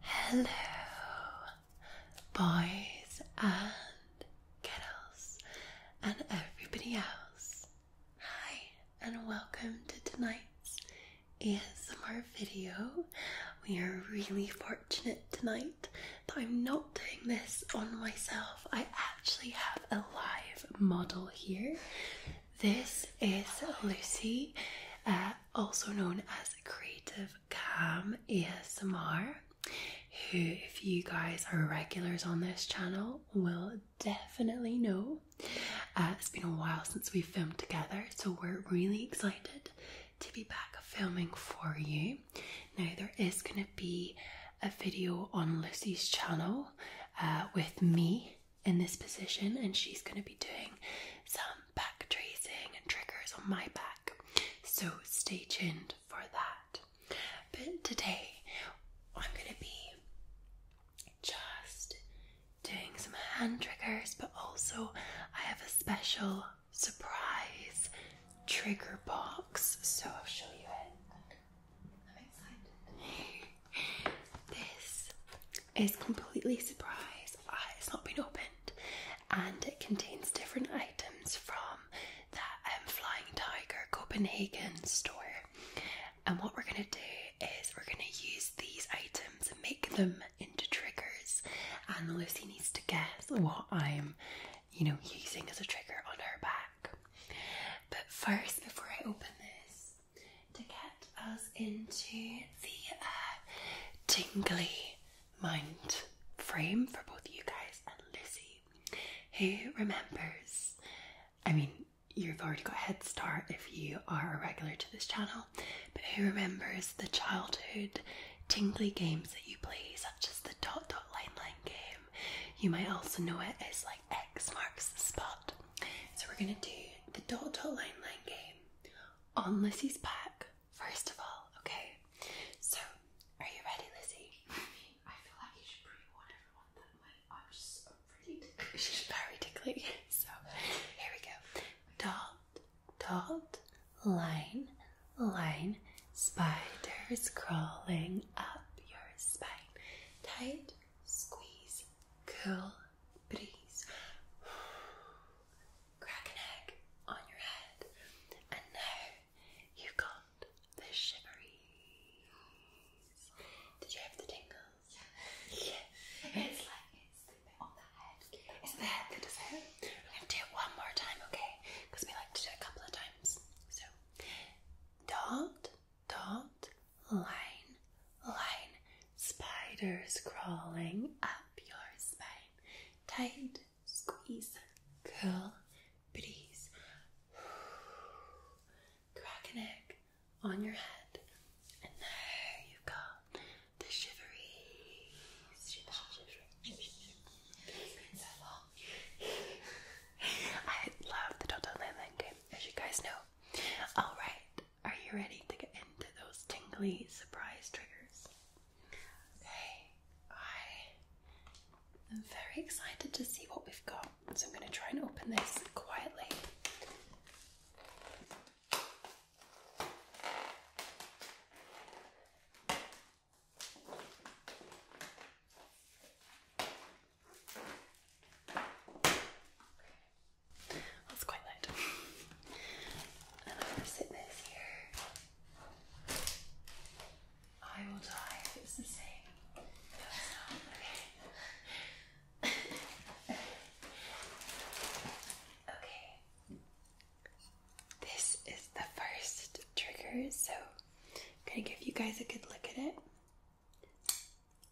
Hello, boys and girls, and everybody else. Hi, and welcome to tonight's ASMR video. We are really fortunate tonight that I'm not doing this on myself. I actually have a live model here. This is Lucy. Uh, also known as Creative Cam ASMR, who, if you guys are regulars on this channel, will definitely know. Uh, it's been a while since we filmed together, so we're really excited to be back filming for you. Now, there is going to be a video on Lucy's channel uh, with me in this position, and she's going to be doing some back tracing and triggers on my back. So stay tuned for that. But today, I'm going to be just doing some hand triggers, but also I have a special surprise trigger box. So I'll show you it. I'm excited. this is completely surprise. it's not been opened, and it contains different items from the um, Flying Tiger Copenhagen store. And what we're gonna do is we're gonna use these items and make them into triggers. And Lucy needs to guess what I'm, you know, using as a trigger on her back. But first, before I open this, to get us into the tingly uh, mind frame for both you guys and Lizzie, who remembers. I mean, you've already got a head start if you are a regular to this channel, but who remembers the childhood tingly games that you play, such as the dot dot line line game? You might also know it as like X marks the spot. So we're gonna do the dot dot line line game on Lissy's back, first of all, okay? So, are you ready, Lizzie? I feel like you should pre-warn everyone that my i so pretty She's very tickly. So, here we go. Dot, dot, line, line, spiders crawling up your spine. Tight, squeeze, cool breeze. Crack an egg on your head, and now you've got the shiveries. Did you have the tingles? Yeah. It's like it's the on the head. It's the head that does it. I'm gonna do it one more time, okay? Because we like to do a couple of times. So dot dot line line Spiders crawling up your spine. Tight, squeeze, curl, please. Crack an egg on your head. And there you go. The shiveries. I love the Toto Land game, as you guys know. Alright, are you ready to get into those tingly surprise triggers? Okay, I am very excited to see what we've got, so I'm going to try and open this quietly. That's quite loud. I'm going to sit this here. I will die it's the same. Okay. okay. This is the first trigger, so I'm going to give you guys a good look at it.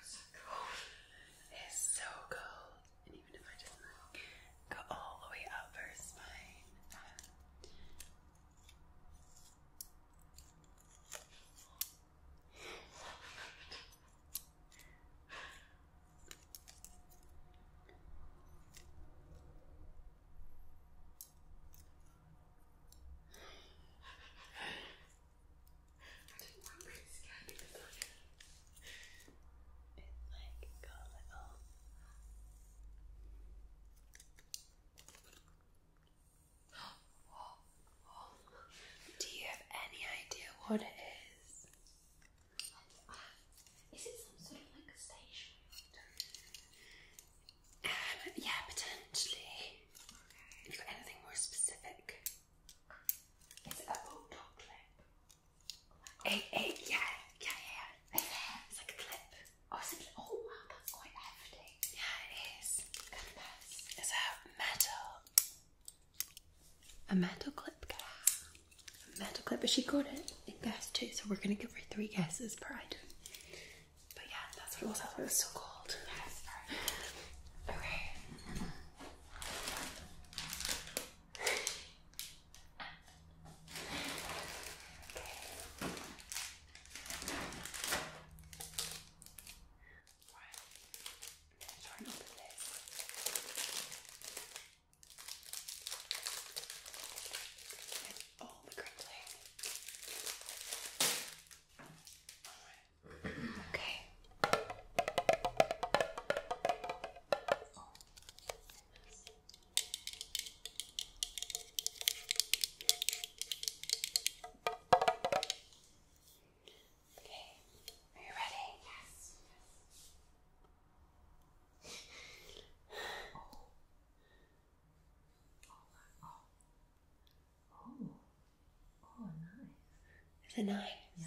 It's so cold. It's so cold. And even if I just go all the way up her spine. I Do you have any idea what it is? Is it some sort of like a station? Um, yeah, potentially. you got anything more specific? It's a bulldog clip. Oh a, yeah, yeah, yeah. It's like a clip. Oh, it's a clip. Oh, wow, that's quite hefty. Yeah, it is. Compass. It's a metal. A metal clip, guys. A metal clip, but she got it in guess two, so we're gonna give her three guesses per item. But yeah, that's what it was. That's what it was so called. Yes, Okay. Okay. Right. I'm going to try and open this. Get all the crinkling. Alright. Okay. Okay, are you ready? Yes. oh. Oh. Oh. Oh, nice. It's a nine. Yeah.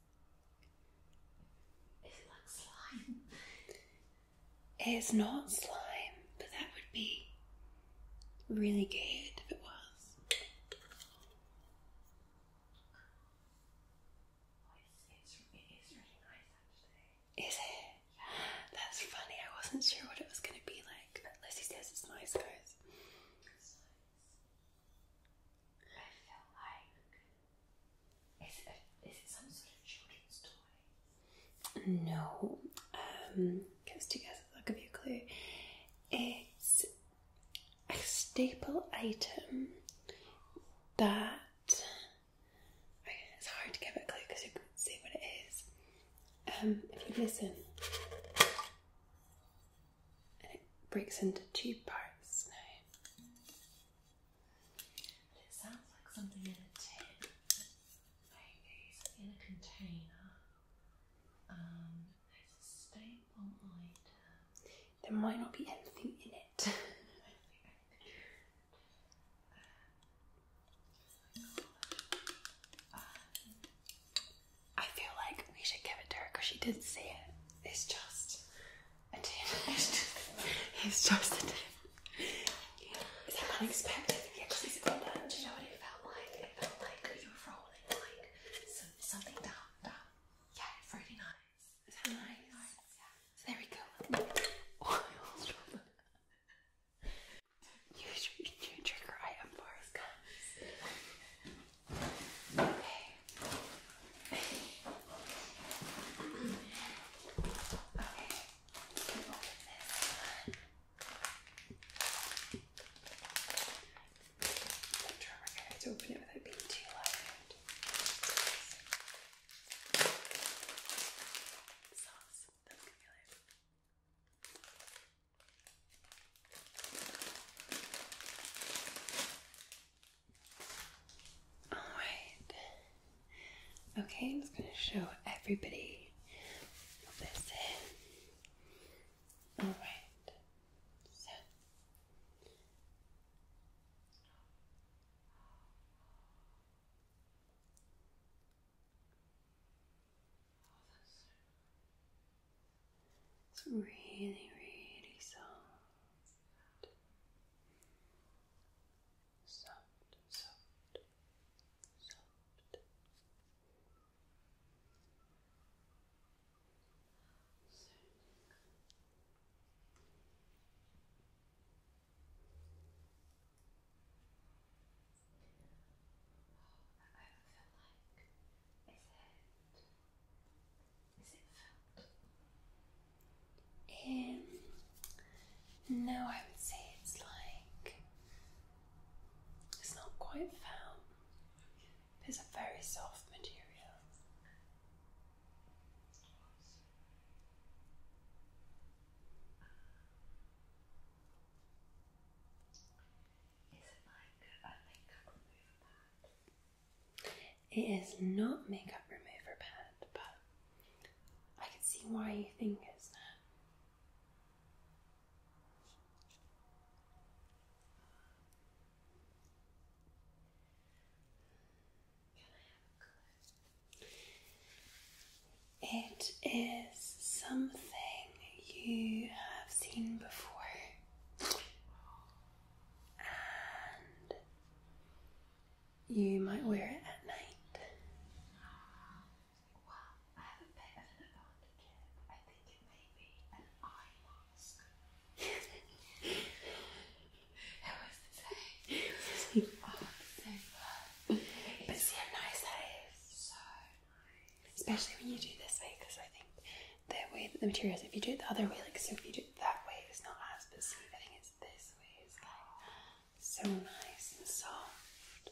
it like slime? It's not slime, but that would be really good if it was. Is it? That's funny. I wasn't sure what it was going to be like, but Lizzie says it's nice, guys. I feel like is it, is it some sort of children's toy? No. Um, goes together. I'll give you a clue. It's a staple item that it's hard to give it a clue because you can't see what it is. Um, if you listen and it breaks into two parts now. It sounds like something in a tin, in a container. Um, there's a staple item. There might not be anything in it. I feel like we should give it to her because she did see it. It's just a he's just a 10. Is that unexpected? Do you know what it felt like? It felt like you were rolling like something down, down. Yeah, it's really nice. Is that nice? Yeah. there we go. Oh, New trigger item for us, guys. I'm trying my hair to open it without being too loud. Sauce. That's gonna be loud. Okay. Alright. Okay, I'm just going to show everybody this Alright. So. It's really, really soft. Soft, soft, soft. So. I feel like is it um, no, I would say it's like it's not quite foam. It's a very soft material. Is it like it is not makeup remover pad, but I can see why you think it's that. It is something you have seen before you might wear it at night. Well, I have a an advantage I think it may be an eye mask. Who was to say? But see how nice that is. So nice. Especially when you do this because I think the way the materials. If you do it the other way, like so, if you do it that way, it's not as I think It's this way. It's like so nice and soft,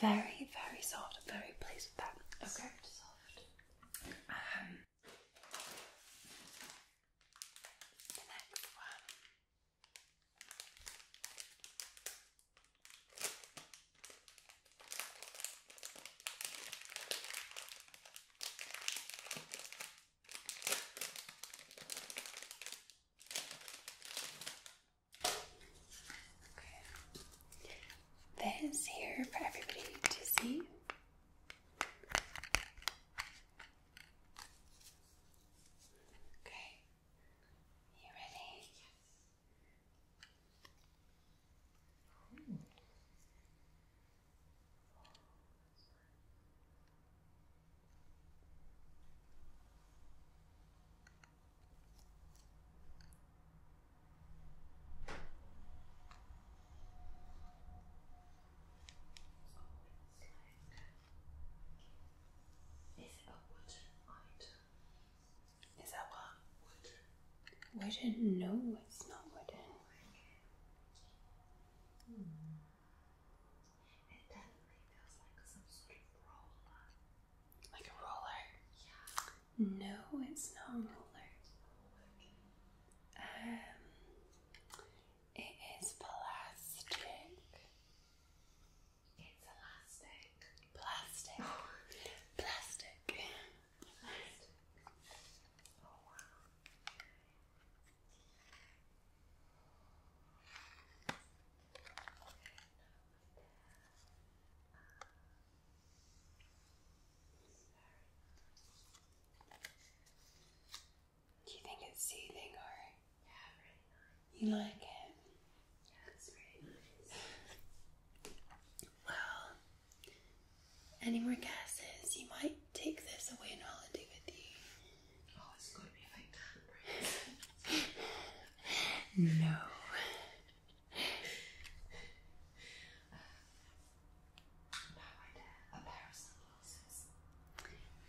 very very soft. very pleased with that. Okay. soft. Um, the next one. Okay. This here for everybody to see. Okay. You ready? Yes. Is it a wooden item? Is that what? Wooden? No, it's not wooden like a roller? Yeah. No, it's not a roller. Um, it is plastic. It's elastic. Plastic. Oh. Plastic. Do you think it's soothing or yeah, really nice. you like it? Yeah, it's really nice. well, any more guesses? You might take this away on holiday with you. Oh, it's going to be like that, right? no.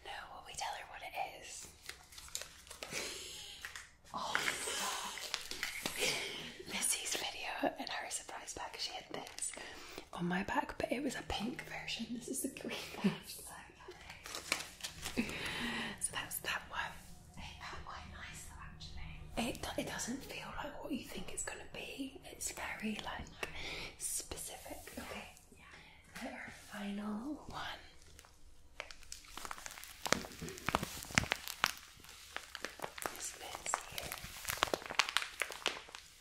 No, will we tell her what it is? Oh, fuck. Missy's video and her surprise pack, she had this on my back, but it was a pink version. This is the green one. So, so that's that one. It It, doesn't feel like what you think it's going to be. It's very like specific. Okay. Yeah. Our final one.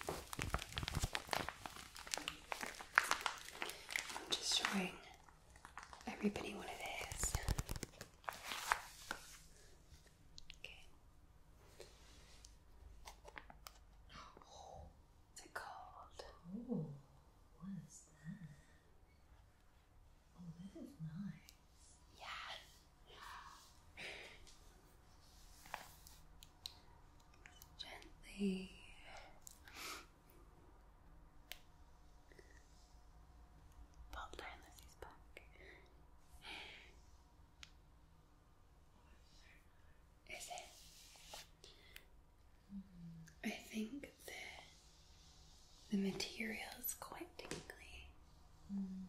I'm just showing everybody what it is. Okay. Oh, is cold? Oh, what is that? Oh, this is nice. Yeah. Gently. Pop down Lizzie's back. Is it? I think the the material is quite tingly. Mm.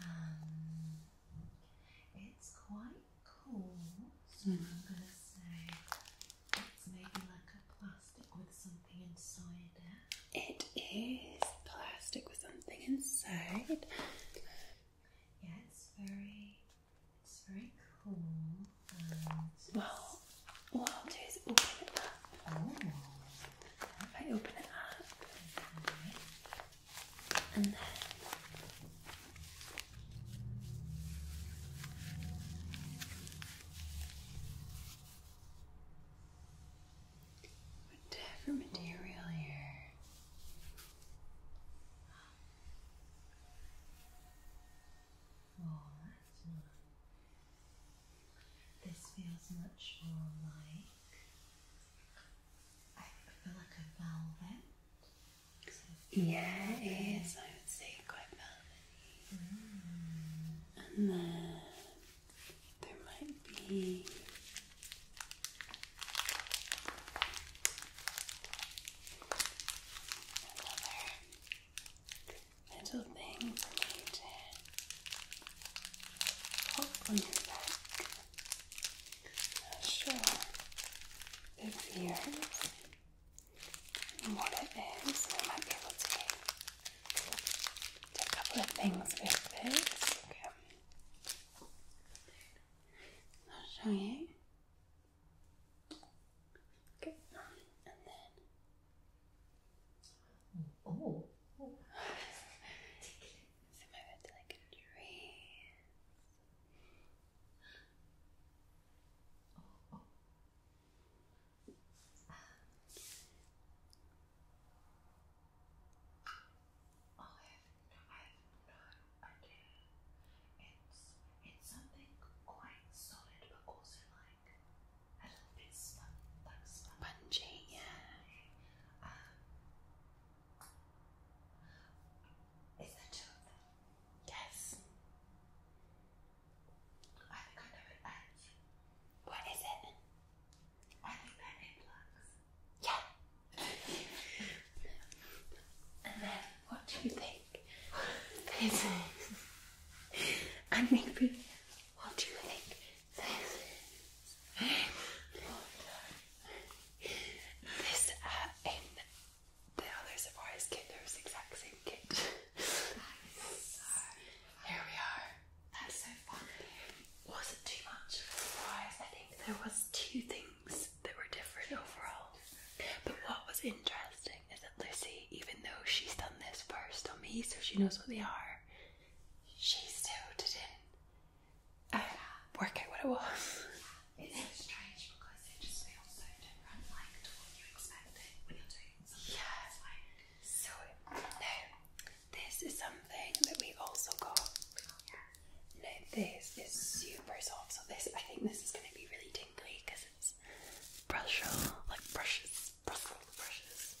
Um, it's quite cool, so I'm hmm. going to say it's maybe like a plastic with something inside it. It is plastic with something inside. Yeah, it's very, it's very cool. well, what I'll do is open it up. I open it up, and then whatever material here. Oh, This feels much more like I feel like a velvet. Yeah, it is. I would say quite velvety. And then there might be little thing for me to pop on your back. sure the fears and what it is. I might be able to do a couple of things with this. I'll show you. Okay, and then Oh. oh. so my bed's like a Oh, oh. I have no, I have no idea. It's it's something quite solid, but also like a little bit spun, like spongy. Yeah. Um, is there two Yes. I think I know it. What is it? I think they're earplugs. Yeah. and then, what do you think? Is I think we what do you think this is? this uh, in the other surprise kit, there was exact same kit. here we are. That's so fun. Wasn't too much surprise. I think there was two things that were different overall. But what was interesting is that Lucy, even though she's done this first on me, so she knows what they are, she still didn't oh, work out what it was. It's so strange because it just feels so different, from what you expected when you're doing something. Yeah. Like... So now, this is something that we also got. yeah. Now this is super soft. So this, I think, this is going to be really tingly because it's brush like brushes, brussel brushes.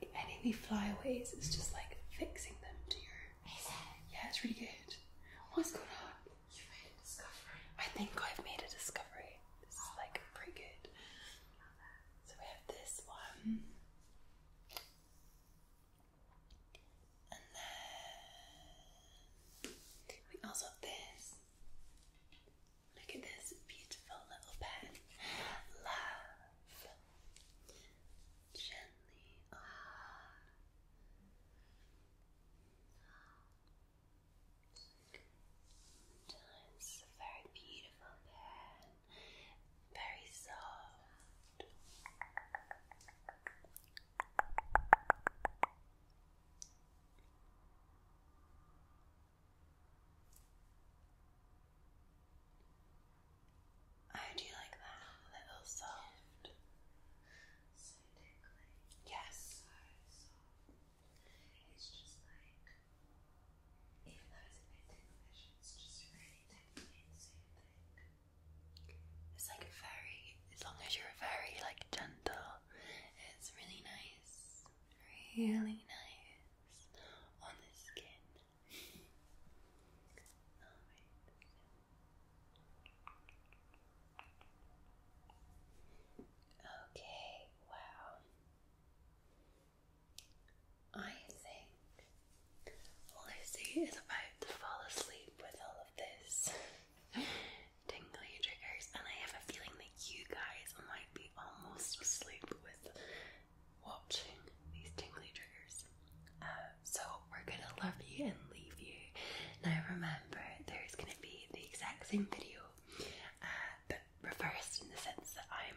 any of the flyaways, it's just like fixing them to your. Is Yeah, it's really good. What's going on? You made a discovery. I think I've made a discovery. This is like pretty good. So we have this one. And then we also have this. Look at this beautiful little pen. Love gently on. It's a very beautiful pen, very soft. I oh, do like that? little soft. Yes. It's just like, even though it's a bit ticklish, it's just really tickling and soothing. It's like very, as long as you're very like gentle, it's really nice, really nice on the skin. Okay, wow. I think Lucy is about to fall asleep with all of this tingly triggers, and I have a feeling that you guys might be almost asleep with watching these tingly triggers. Uh, so we're gonna love you and leave you. Now remember, there's gonna be the exact same video, uh, but reversed in the sense that I'm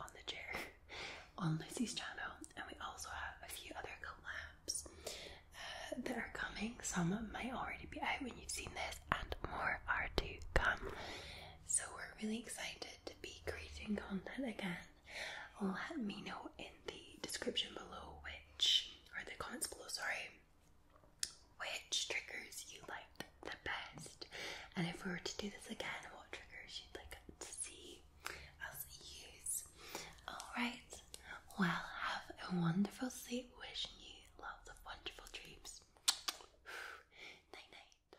on the chair on Lucy's channel, and we also have a few other collabs uh, that are coming. Some might already be out when you've seen this, and more are to come. So we're really excited to be creating content again let me know in the description below which, or the comments below, sorry, which triggers you like the best. And if we were to do this again, what triggers you'd like to see us use. Alright, well, have a wonderful sleep. Wishing you lots of wonderful dreams. night night.